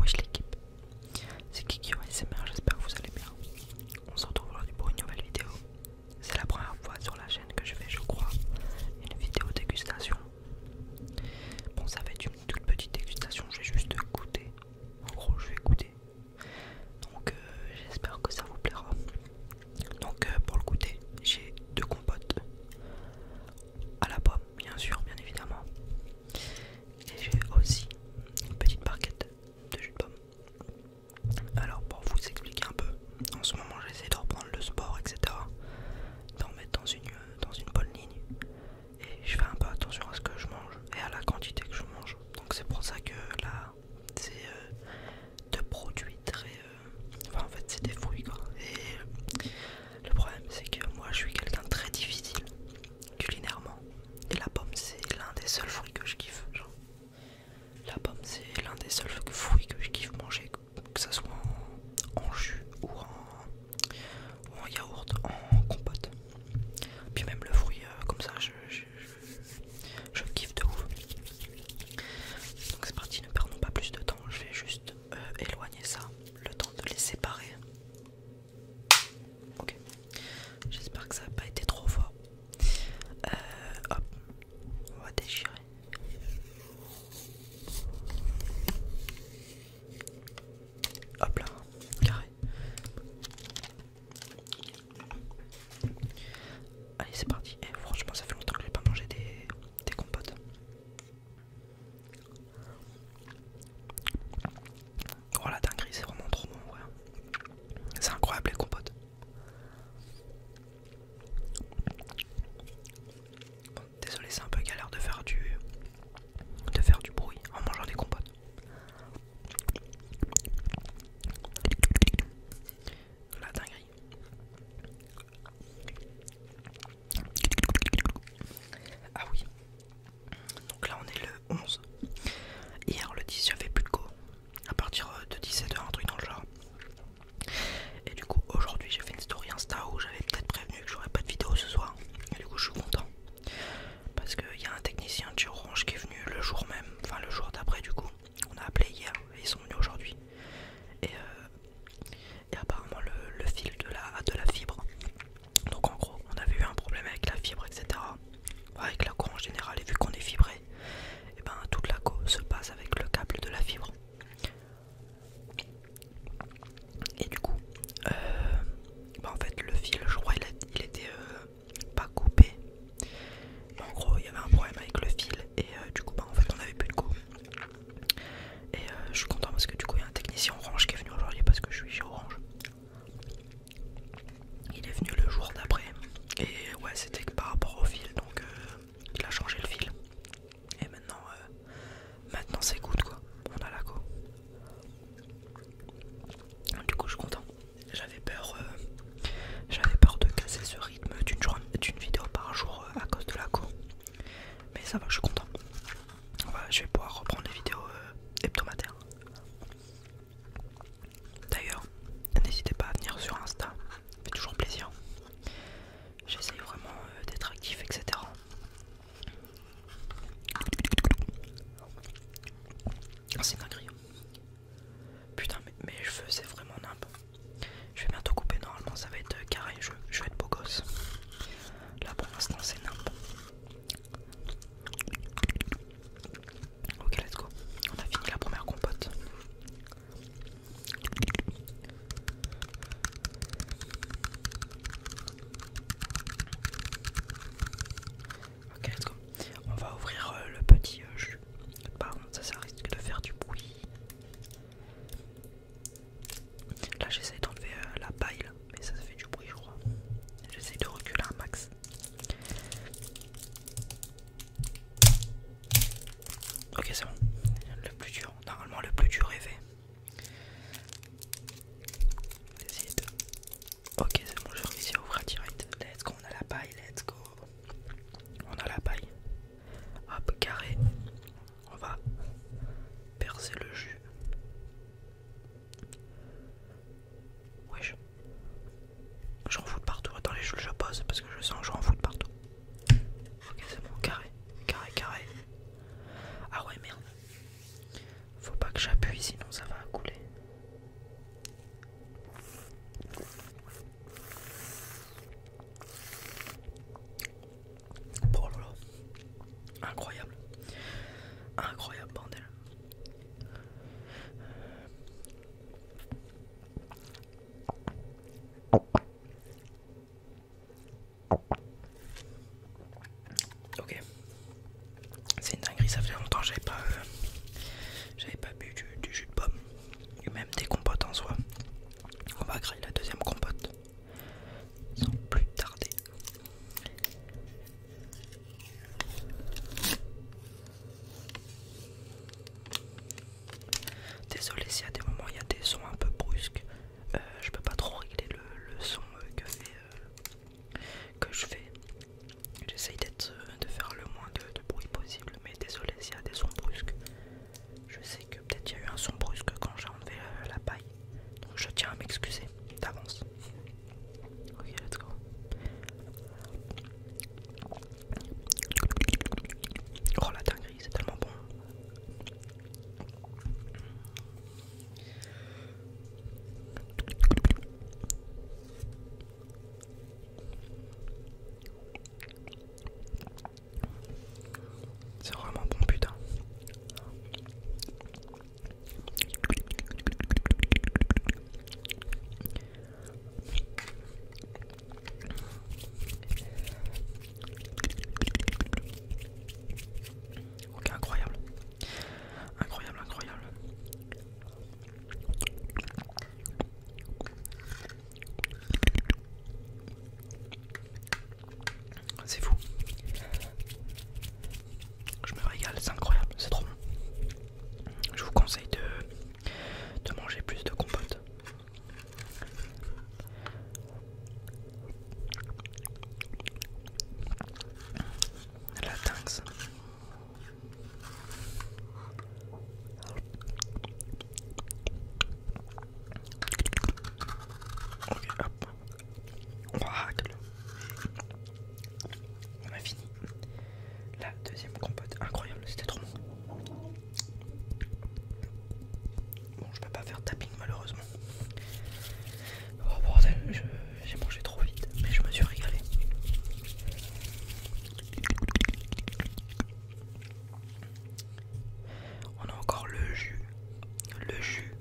Wesh l'équipe, c'est Kiki SMR, j'espère que vous allez bien. On se retrouve aujourd'hui pour une nouvelle vidéo. C'est la première fois sur la chaîne que je fais, je crois, une vidéo dégustation. Bon, ça va être une toute petite dégustation, je vais juste goûter. En gros, je vais goûter. Donc, euh, j'espère que ça vous plaira. Donc, euh, pour le goûter, j'ai deux compotes à la pomme, bien sûr, bien évidemment. Et j'ai aussi une petite barquette de jus de pomme. Alors pour vous expliquer un peu, en ce moment j'essaie de reprendre le sport, etc. D'en mettre dans une, dans une bonne ligne. Et je fais un peu attention à ce que je mange et à la quantité que je mange. Donc c'est pour ça que là c'est deux de produits très... Euh, enfin en fait c'est des fruits quoi. Le problème, c'est que moi je suis quelqu'un très difficile culinairement. Et la pomme, c'est l'un des seuls fruits que je kiffe. Genre. La pomme, c'est l'un des seuls fruits que je kiffe manger, que ce soit en, jus ou en, yaourt, en compote. Puis même le fruit, euh, comme ça, je, kiffe de ouf. Donc c'est parti, ne perdons pas plus de temps. Je vais juste euh, éloigner ça, le temps de les séparer Ok. J'espère que ça n'a pas été trop fort. Euh, hop, on va déchirer. Hop là, carré. Allez, c'est parti. Eh, franchement, ça fait longtemps que n'ai pas mangé des compotes. Oh la dinguerie, c'est vraiment trop bon, ouais. C'est incroyable les compotes. désolé, c'est un peu galère de faire du de faire du bruit en mangeant des compotes. La dinguerie. Ah oui, donc là on est le 11. Hier le 10 j'avais plus de go. À partir euh, de 17h, un truc dans le genre. Et du coup aujourd'hui j'ai fait une story Insta où j'avais peut-être prévenu que j'aurais pas de vidéo ce soir. Et du coup je suis content. Parce qu'il y a un technicien du Orange qui est venu le jour même, enfin le jour d'après du coup. On a appelé hier et ils sont venus aujourd'hui. Et, euh, apparemment le, fil de de la fibre donc en gros, on avait eu un problème avec la fibre, etc. Bah, avec la cour en général, et vu qu'on est fibré, et eh ben toute la co se passe avec le câble de la fibre. Et du coup, euh, bah, en fait le fil, je crois, il, était euh, pas coupé. en gros, il y avait un problème avec le fil, et euh, du coup, bah, en fait, on avait plus de co. Et euh, je suis content parce que du coup il y a un technicien orange qui est venu aujourd'hui parce que je suis Orange. Il est venu le jour d'après. Et ouais c'était par rapport au fil donc euh, il a changé le fil. Et maintenant euh, maintenant c'est good quoi. On a la co Du coup je suis content. J'avais peur, j'avais peur de casser ce rythme d'une vidéo par jour à cause de la co Mais ça va, je suis content. Bah, je vais pouvoir reprendre les vidéos euh, hebdomadaires. D'ailleurs, n'hésitez pas à venir sur Insta, ça fait toujours plaisir. J'essaye vraiment euh, d'être actif, etc. C'est c'est dinguerie. Putain, mes cheveux, c'est vraiment nimp. Je vais bientôt couper, normalement ça va être euh, carré, je, vais être beau gosse. Là pour l'instant, c'est nimp. Ok, let's go. On a fini la première compote. Ok, let's go. On va ouvrir euh, le petit Pardon, euh, bah, ça, ça risque de faire du bruit. Là, j'essaie d'enlever euh, la paille mais ça fait du bruit je crois. J'essaie de reculer un max. Ok c'est bon. Le plus dur, normalement le plus dur est fait. Ok c'est bon, je réussir à ouvrir direct. Let's go, on a la paille, let's go. On a la paille. Hop, carré. On va percer le jus. Wesh. Je fous de partout. Attends, les jeux, je pose parce que je sens que j'en fous de partout. Ok, c'est bon, carré, carré, carré. Ah ouais, merde. Faut pas que j'appuie, sinon ça va couler. Oh Incroyable. Incroyable bordel. Ok. C'est une dinguerie, ça fait longtemps j'avais pas euh, j'avais pas bu du, jus de pomme ou même des compotes en soi. On va créer la deuxième compote sans plus tarder. Désolé si y a des moments il y a des sons un peu brusques, euh, je peux pas trop régler le, son euh, euh, que, je fais. J'essaye de faire le moins de, bruit possible, mais désolé s'il y a des sons brusques. Je sais que peut-être il y a eu un son brusque quand j'ai enlevé la paille je tiens à m'excuser d'avance. Ok, let's go. Oh la dinguerie, c'est tellement bon. C'est vraiment bon putain. Ok, incroyable. Incroyable, incroyable. C'est fou. Je me régale, c'est incroyable, c'est trop bon. Je vous conseille de, manger plus de compote. La Tinx. Ok, hop, on a fini. La deuxième compote, incroyable, c'était trop bon. Bon, je peux pas faire tapping malheureusement. Oh bordel, j'ai mangé trop vite, mais je me suis régalé. On a encore le jus, le jus.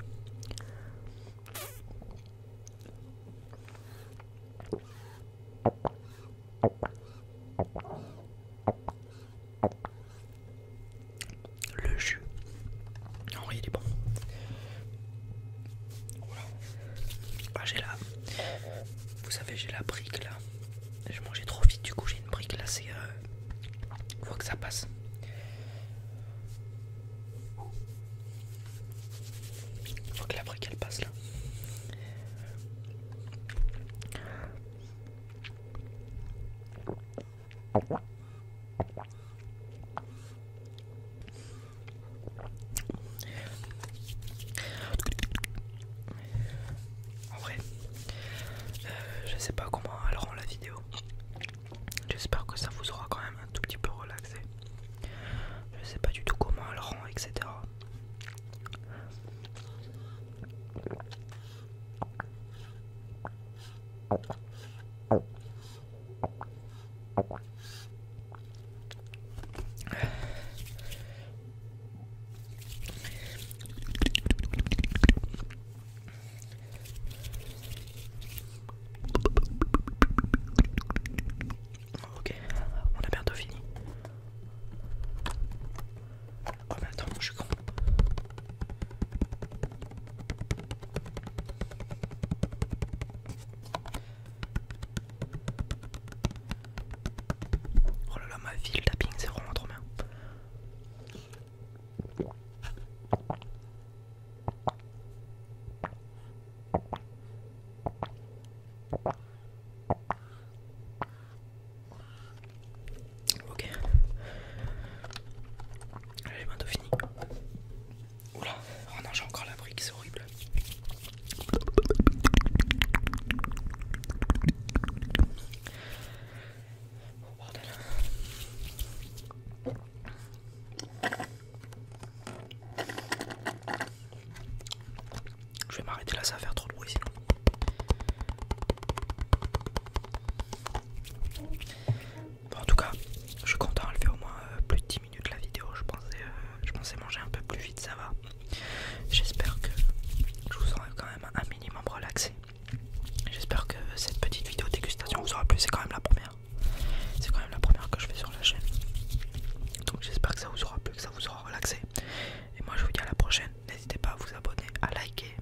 Le jus. Henri il est bon. Voilà. Bah, j'ai la. Vous savez, j'ai la brique là. Je mangeais trop vite, du coup, j'ai une brique là. C'est. Euh, faut que ça passe faut que la brique passe là. En vrai, euh, je sais pas comment elle rend la vidéo. J'espère que ça vous aura quand même un tout petit peu relaxé. Je sais pas du tout comment elle rend, etc. Ok, on a bientôt fini. Oh mais attends, je suis con. Oh là là, ma ville tapping, c'est vraiment trop bien. Ok. J'ai bientôt fini. Oula, oh non, j'ai encore la brique, c'est horrible. Oh, je vais m'arrêter là, ça va faire trop de bruit sinon. en tout cas, je suis content, au moins euh, plus de 10 minutes la vidéo. Euh, je pensais, manger un peu plus vite, ça va. J'espère que je vous sens quand même un minimum relaxé. J'espère que cette petite vidéo dégustation vous aura plu, c'est quand même la première. C'est quand même la première que je fais sur la chaîne. Donc j'espère que ça vous aura plu, que ça vous aura relaxé. Et moi je vous dis à la prochaine. N'hésitez pas à vous abonner, à liker,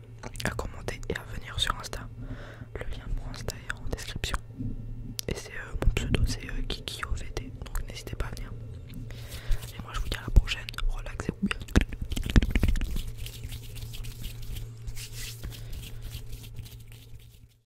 à commenter et à venir sur Insta. Le lien pour Insta est en description. Et c'est euh, mon pseudo, c'est euh, Kiki KikiOVD. Donc n'hésitez pas à venir. Et moi je vous dis à la prochaine. Relaxez-vous bien.